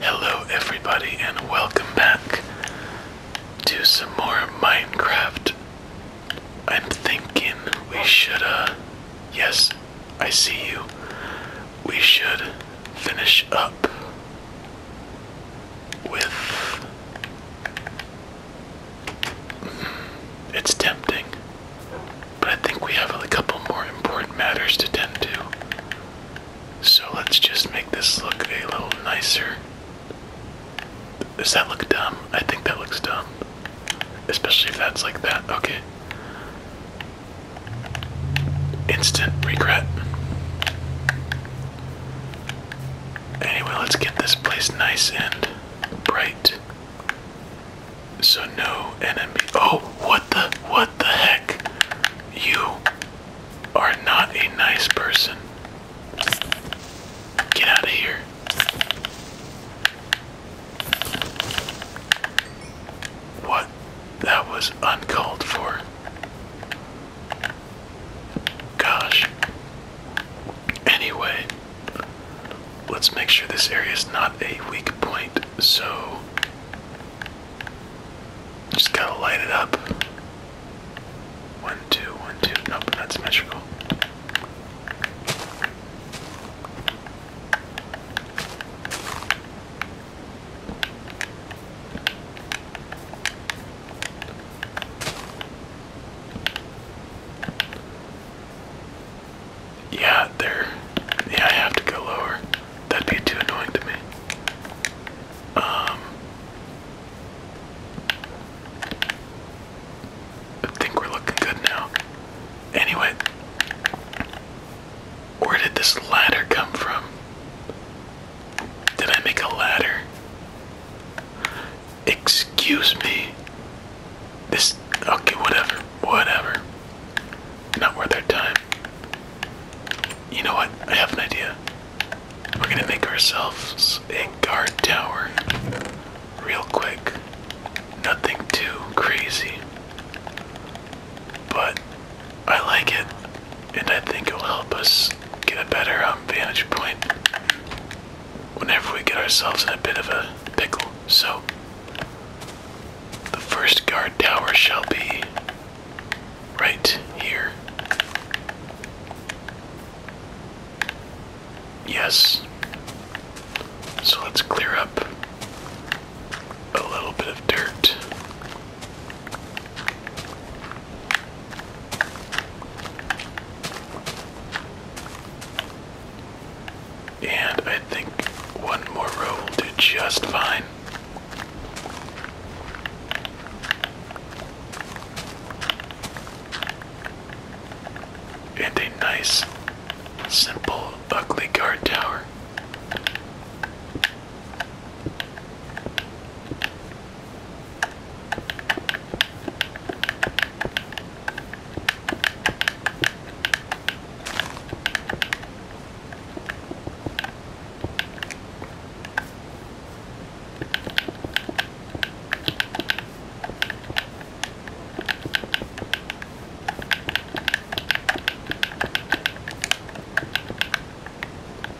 Hello, everybody, and welcome back to some more Minecraft. I'm thinking we should, uh, yes, I see you. We should finish up with. Mm, it's tempting. But I think we have a couple more important matters to tend to. So let's just make this look a little nicer. Does that look dumb? I think that looks dumb. Especially if that's like that. Okay. Instant regret. Anyway, let's get this place nice and bright. So no enemy. Oh, what the what the heck? You are not a nice person. Get out of here. What? That was uncalled for. Gosh. Anyway, let's make sure this area is not a weak point. So just gotta light it up. One, two, one, two. No, not symmetrical. Yeah, there. Yeah, I have to go lower. That'd be too annoying to me. Um, I think we're looking good now. Anyway, where did this ladder come from? Did I make a ladder? Excuse me. This okay, whatever, whatever. Not worth our time. You know what? I have an idea. We're gonna make ourselves a guard tower real quick. Nothing too crazy. But I like it, and I think it'll help us get a better um, vantage point whenever we get ourselves in a bit of a pickle. So, the first guard tower shall be right here. Yes. So let's clear up a little bit of dirt. And I think one more row will do just fine. And a nice, simple, ugly guard tower.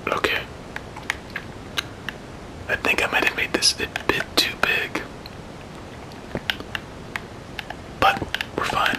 Okay. I think I might have made this a bit too big. But we're fine.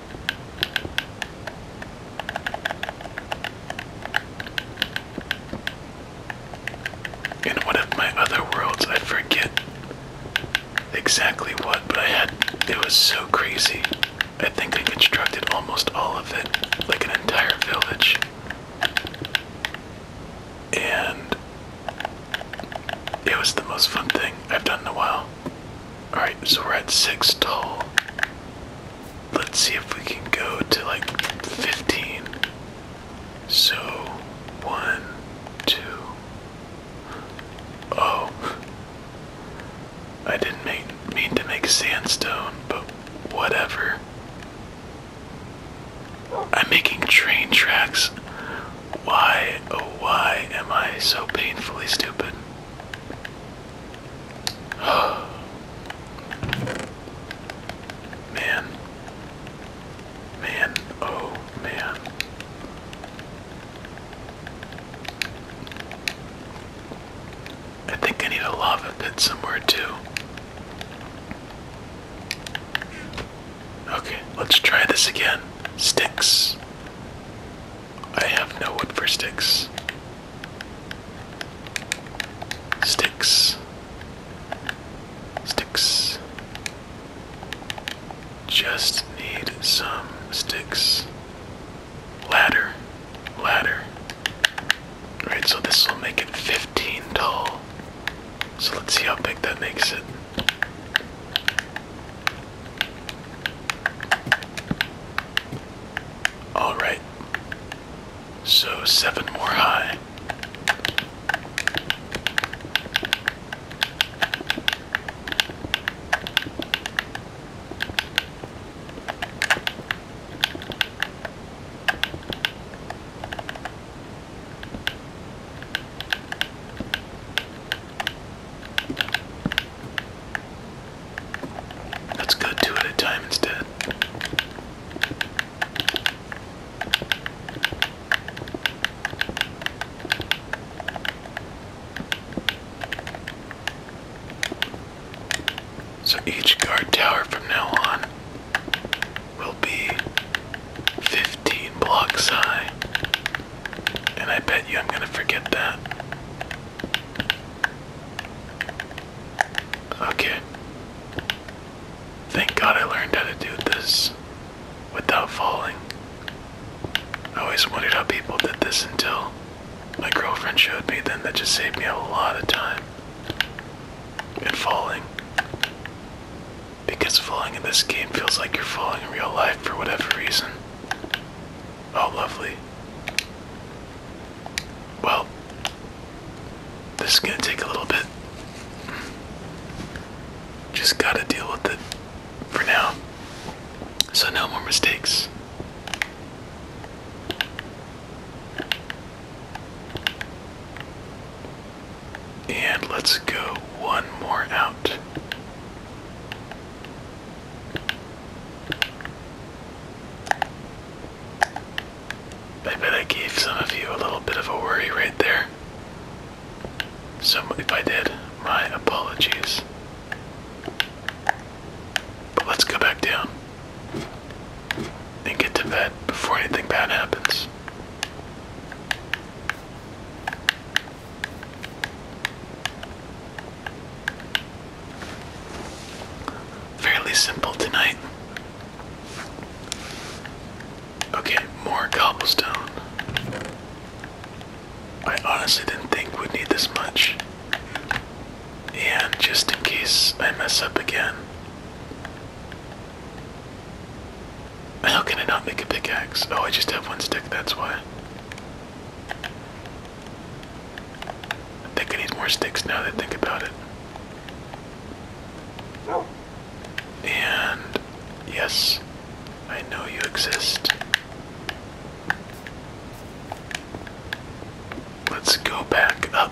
In one of my other worlds, I forget exactly what, but I had. It was so crazy. I think I constructed almost all of it, like an entire village. And it was the most fun thing I've done in a while. Alright, so we're at six tall. Let's see if we can go to like 15. So, one, oh. I didn't make, mean to make sandstone, but whatever. I'm making train tracks. Why, oh, why am I so painfully stupid? man. Man, oh man. I think I need a lava pit somewhere too. Okay, let's try this again. Sticks. I have no wood for sticks. Sticks. Sticks. Just need some sticks. Ladder. Ladder. Alright, so this will make it 15 tall. So let's see how big that makes it. All right. So seven more high. Let's go two at a time instead. So each guard tower from now on will be 15 blocks high. And I bet you I'm going to forget that. Okay. Thank God I learned how to do this without falling. I always wondered how people did this until my girlfriend showed me, then that just saved me a lot of time and falling. Because falling in this game feels like you're falling in real life for whatever reason. Oh, lovely. Well, this is going to take a little bit. Just got to deal with it for now. So, no more mistakes. And let's go one more out. I bet I gave some of you a little bit of a worry right there. So if I did, my apologies. But let's go back down and get to bed before anything bad happens. Fairly simple tonight. Okay, more cobblestone. I honestly didn't think we'd need this much. And just in case I mess up again. How can I not make a pickaxe? Oh, I just have one stick, that's why. I think I need more sticks now that I think about it. Oh. And yes, I know you exist. Let's go back up.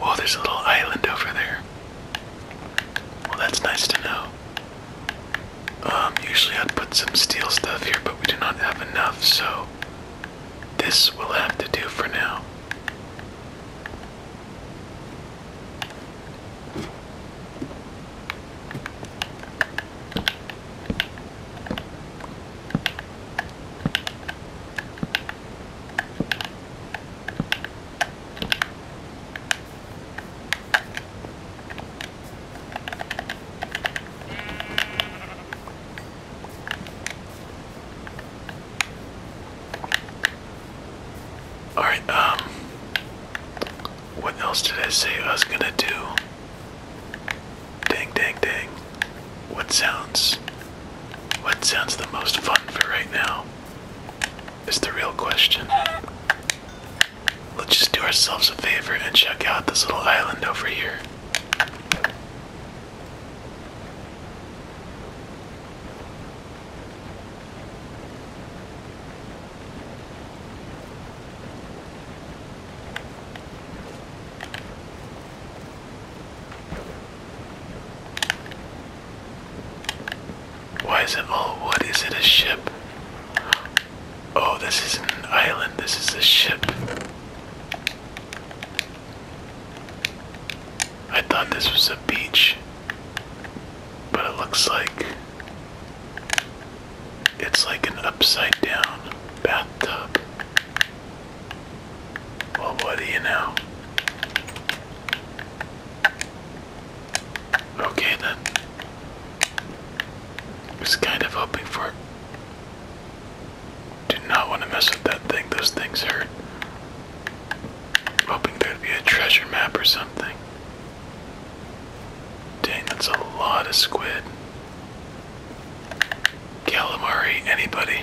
Oh, there's a little island over there. Well, that's nice to know. Um, usually I'd put some steel stuff here, but we do not have enough, so this will have to do for now. All right, um, what else did I say I was gonna do? Ding, ding, ding. What sounds what sounds the most fun for right now is the real question. Let's just do ourselves a favor and check out this little island over here. Why is it all oh, wood? it a ship? Oh, this isn't an island, this is a ship. I thought this was a beach, but it looks like it's like an upside down bathtub. Well, what do you know? Okay then. I was kind of hoping for. Do not want to mess with that thing. Those things hurt. Hoping there'd be a treasure map or something. Dang, that's a lot of squid. Calamari, anybody?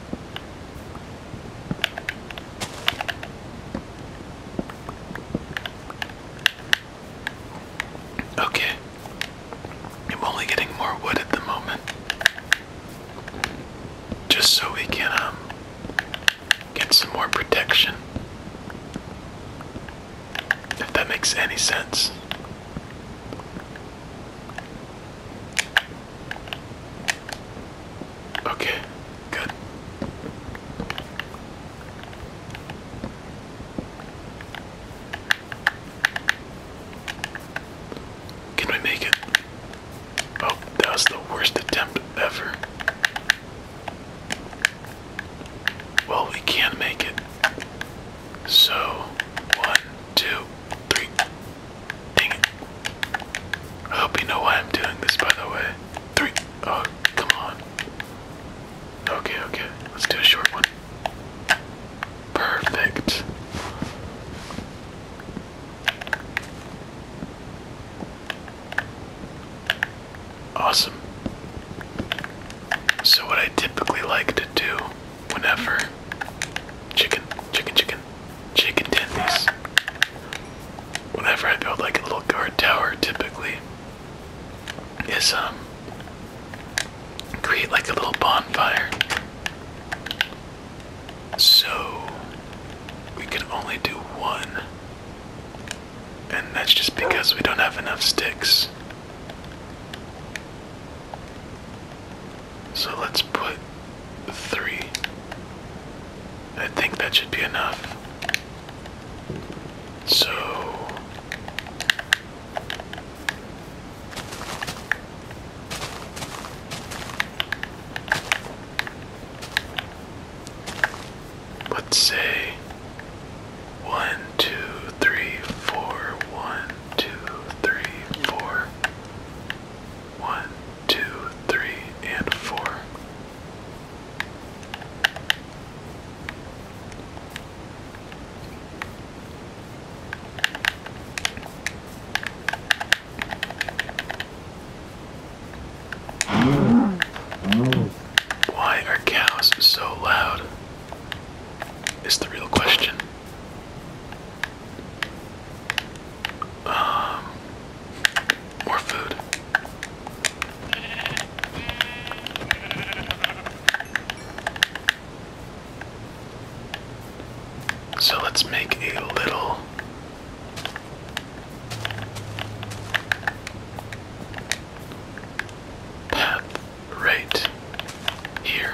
Okay, I'm only getting more wood at the moment, just so we can um, get some more protection. If that makes any sense. Okay, good. Can we make it? Oh, that was the worst attempt ever. Well, we can make it. So, one, two, three. Dang it. I hope you know why I'm doing this, by the way. Three. Oh, come on. Okay, okay. Let's do a short one. Perfect. Awesome. So, what I typically like to do whenever chicken, chicken, chicken, chicken tendies. Whenever I build like a little guard tower, typically is um create like a little bonfire. So we can only do one. And that's just because we don't have enough sticks. So let's put three. I think that should be enough. So. Let's say one, two, three, four, one, two, three, four, one, two, three, and four. Why are cows so loud? Is the real question. Um, more food. So let's make a little path right here.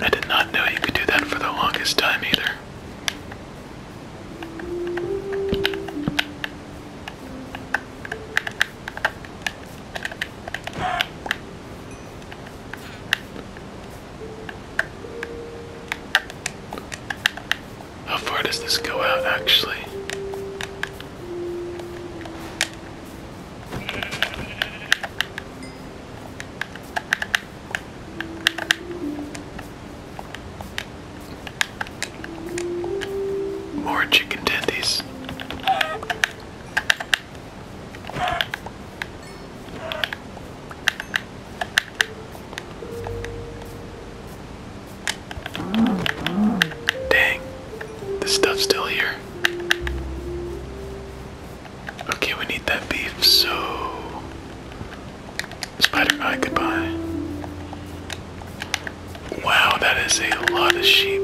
I did not know you could do that for the longest time either. How far does this go out actually? More chicken tendies. Dang, the stuff's still here. Okay, we need that beef, so. Spider Eye, goodbye. Wow, that is a lot of sheep.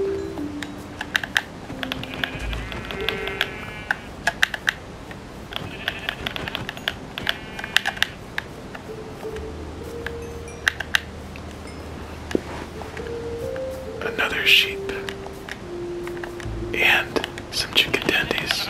Another sheep and some chicken tendies.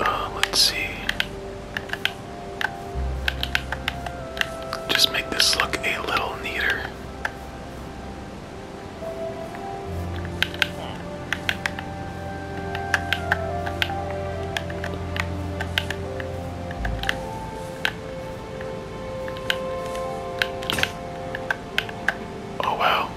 Uh, let's see. Just make this look a little neater. Oh wow.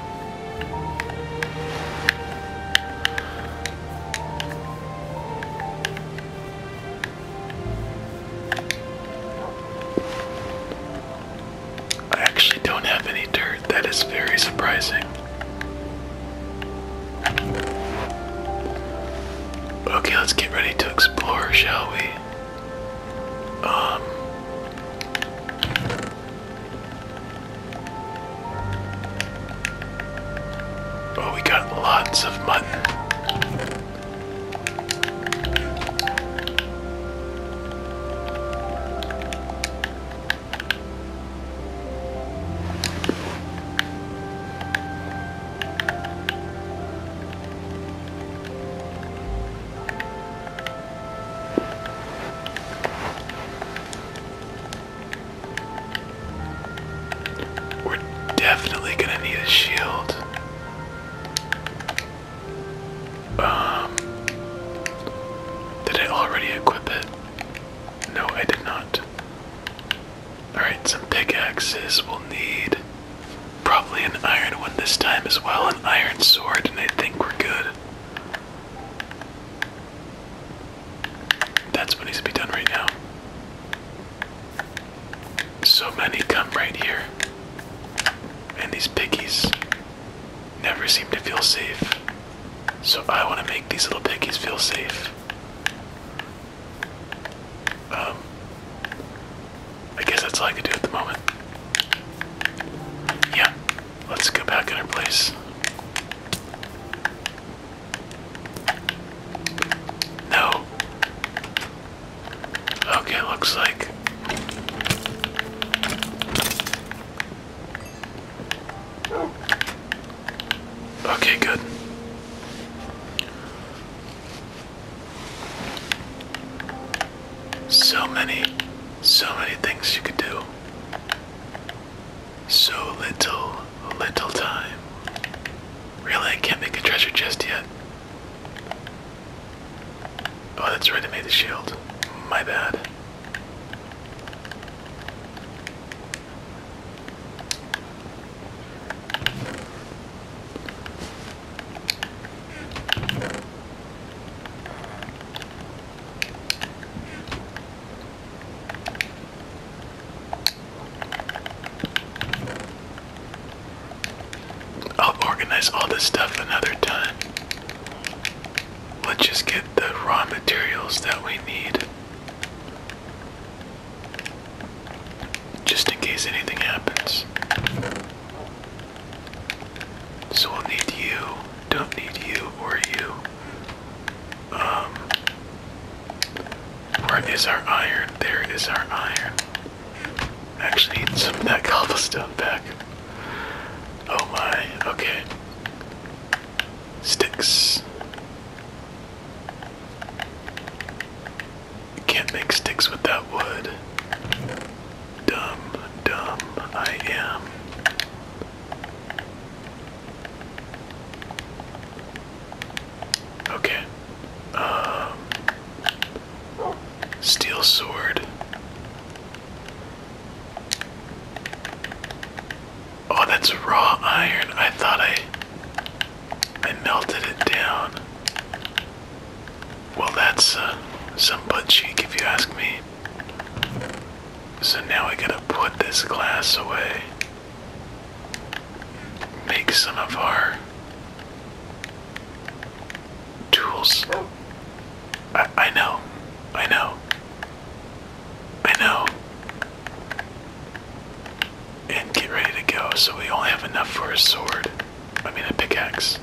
I actually don't have any dirt. That is very surprising. Okay, let's get ready to explore, shall we? Um Oh, we got lots of mutton. We're definitely gonna need a shield. Um, did I already equip it? No, I did not. Alright, some pickaxes we'll need. Probably an iron one this time as well, an iron sword, and I think we're good. That's what needs to be done right now. So many come right here. And these piggies never seem to feel safe. So I want to make these little piggies feel safe. Um, I guess that's all I can do at the moment. Yeah, let's go back in our place. No. Okay, looks like. Okay, good. So many, so many things you could do. So little, little time. Really, I can't make a treasure chest yet. Oh, that's right, I made the shield. My bad. I'll organize all this stuff another time. Let's just get the raw materials that we need. Just in case anything happens. So we need you. Don't need you or you. Um, where is our iron? There is our iron. Actually, need some that cobblestone back. Oh my, okay. Sticks. can't make sticks with that wood. Dumb, dumb, I am. Okay. Um, steel sword. Oh, that's raw iron. I thought I I melted it down. Well, that's uh, some butt cheek if you ask me. So now we gotta put this glass away. Make some of our tools. I, know. I know. I know. And get ready to go. So we only have enough for a sword. I mean, a pickaxe.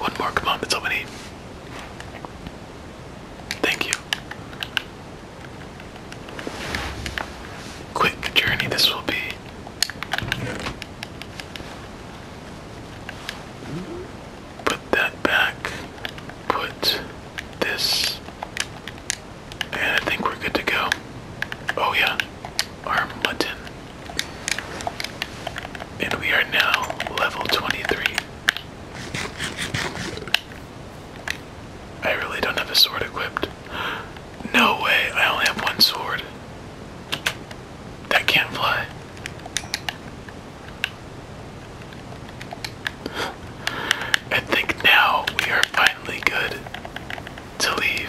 One more, come on, that's all we need. Thank you. Quick journey this will be. Put that back. Put this. And I think we're good to go. Oh, yeah. Our mutton. And we are now level 23. I really don't have a sword equipped. No way, I only have one sword. That can't fly. I think now we are finally good to leave.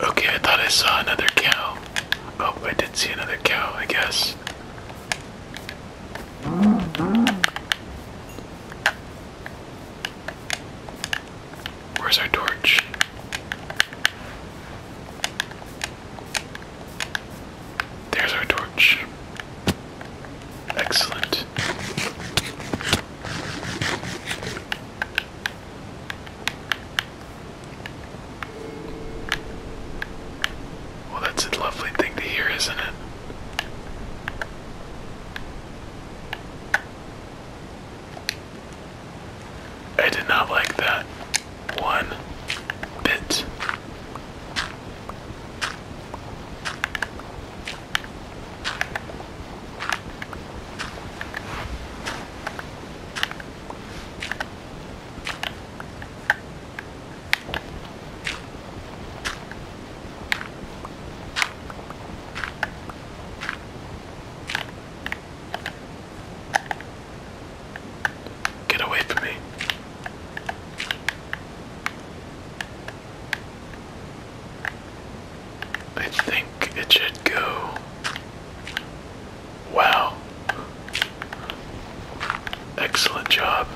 Okay, I thought I saw another cow. Oh, I did see another cow, I guess. Where's our torch? There's our torch. Excellent. Well, that's a lovely thing to hear, isn't it? I did not like that one bit. Get away from me. I think it should go. Wow. Excellent job.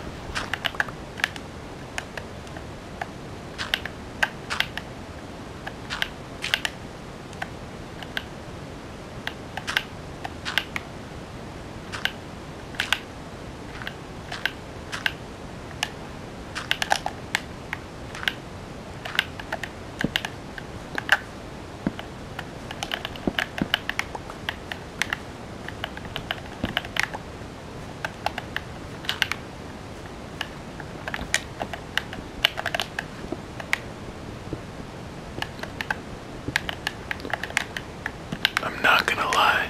I'm not gonna lie,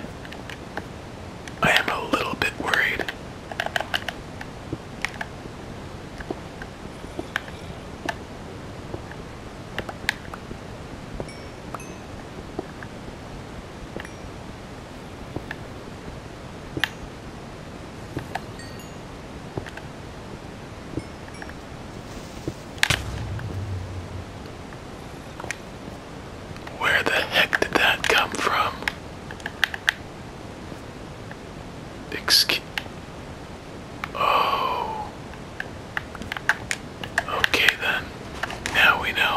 I am a little bit worried where the heck did that come from? Excuse. Oh. Okay then. Now we know.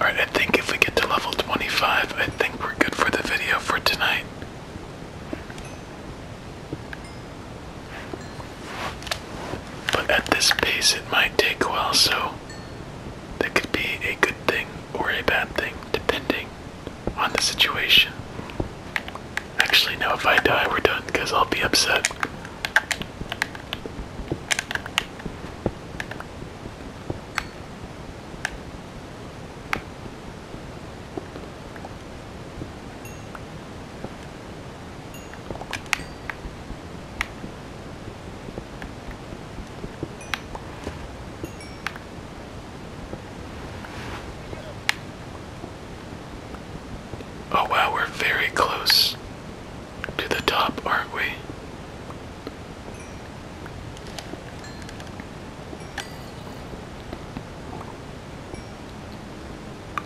Alright, I think if we get to level 25, I think we're good for the video for tonight. But at this pace, it might take a while, so that could be a good thing or a bad thing, depending on the situation. Actually, no, if I die, we're done because I'll be upset. Oh wow, we're very close to the top, aren't we?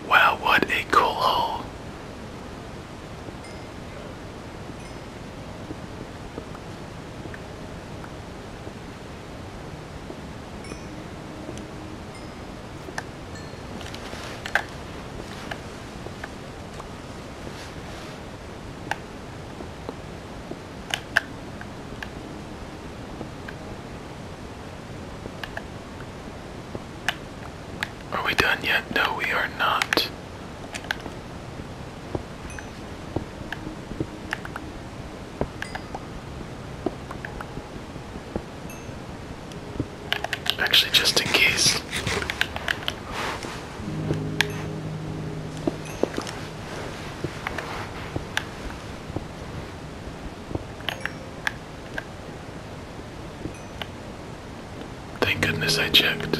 Wow, what a cool hole. Are we done yet? No, we are not. Actually, just in case. Thank goodness I checked.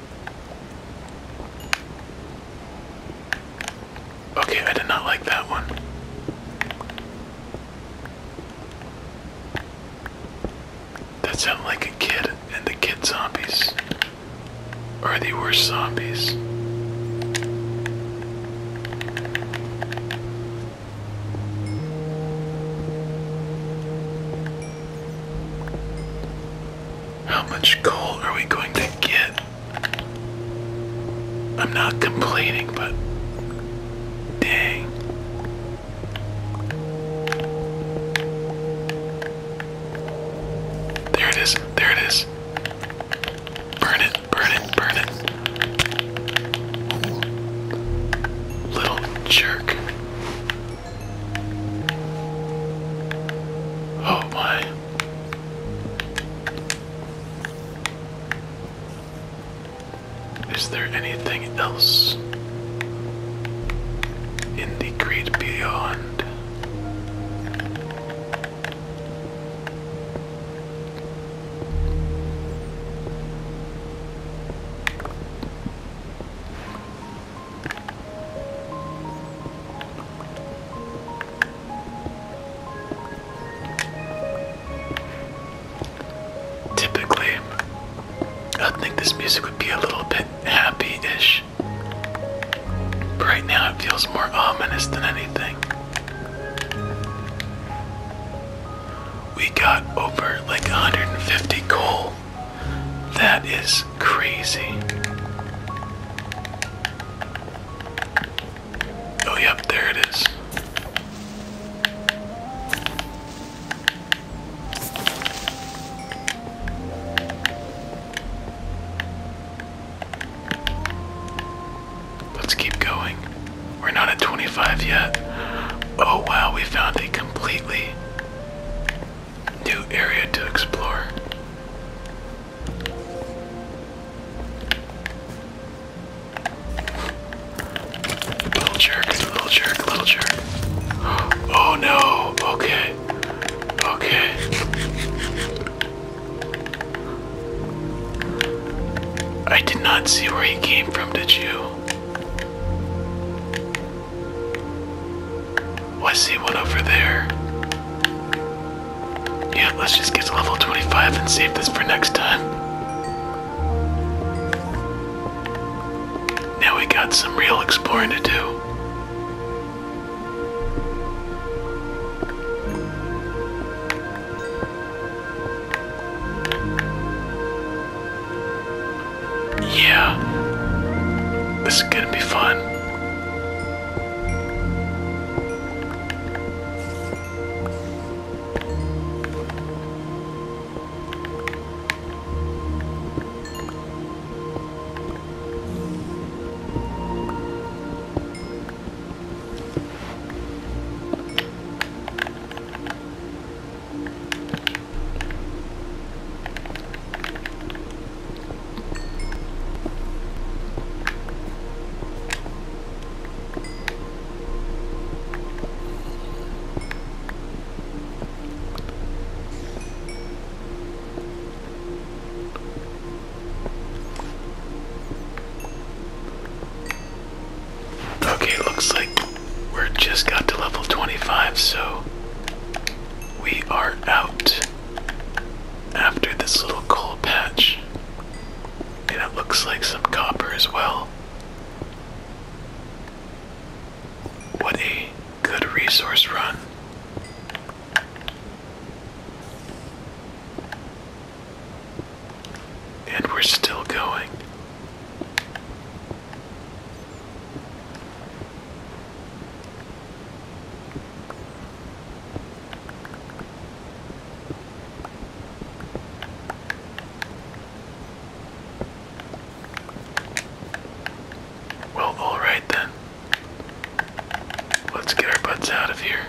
Okay, I did not like that one. That sounded like a kid, and the kid zombies are the worst zombies. How much coal are we going to get? I'm not complaining, but dang. There it is, there it is. Burn it, burn it, burn it. Little jerk. Oh my. Is there anything else in the great beyond? Typically, I think this music would be a little bit happy ish. right now, it feels more ominous than anything. We got over like 150 coal that is crazy. Oh, yep, there it is. Let's keep going. We're not at 25 yet. Oh wow, we found a completely new area to explore. Little jerk, little jerk, little jerk. Oh no, okay, okay. I did not see where he came from, did you? Oh, I see one over there. Yeah, let's just get to level 25 and save this for next time. Now we got some real exploring to do. Yeah. This is gonna be fun. Okay, looks like we're just got to level 25, so we are out after this little coal patch. And it looks like some copper as well. What a good resource run. And we're still going. Well, alright then. Let's get our butts out of here.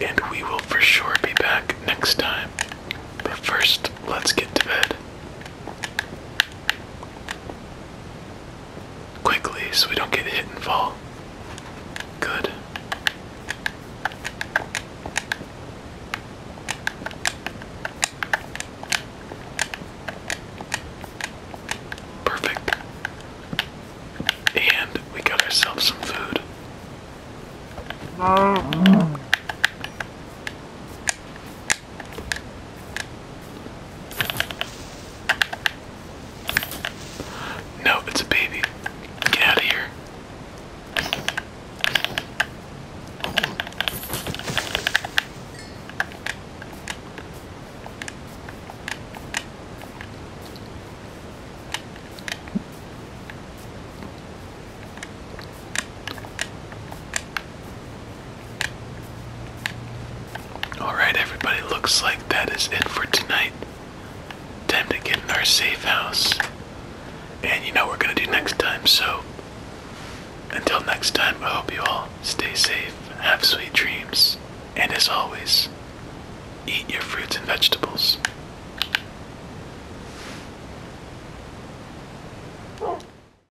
And we will for sure be back next time. But first, let's get to bed quickly so we don't get hit and fall. Good. Perfect. And we got ourselves some food. Mm. No, it's a baby. Get out of here. Alright, everybody, looks like that is it for tonight. Time to get in our safe house. And you know what we're gonna do next time, so until next time, I hope you all stay safe, have sweet dreams, and as always, eat your fruits and vegetables.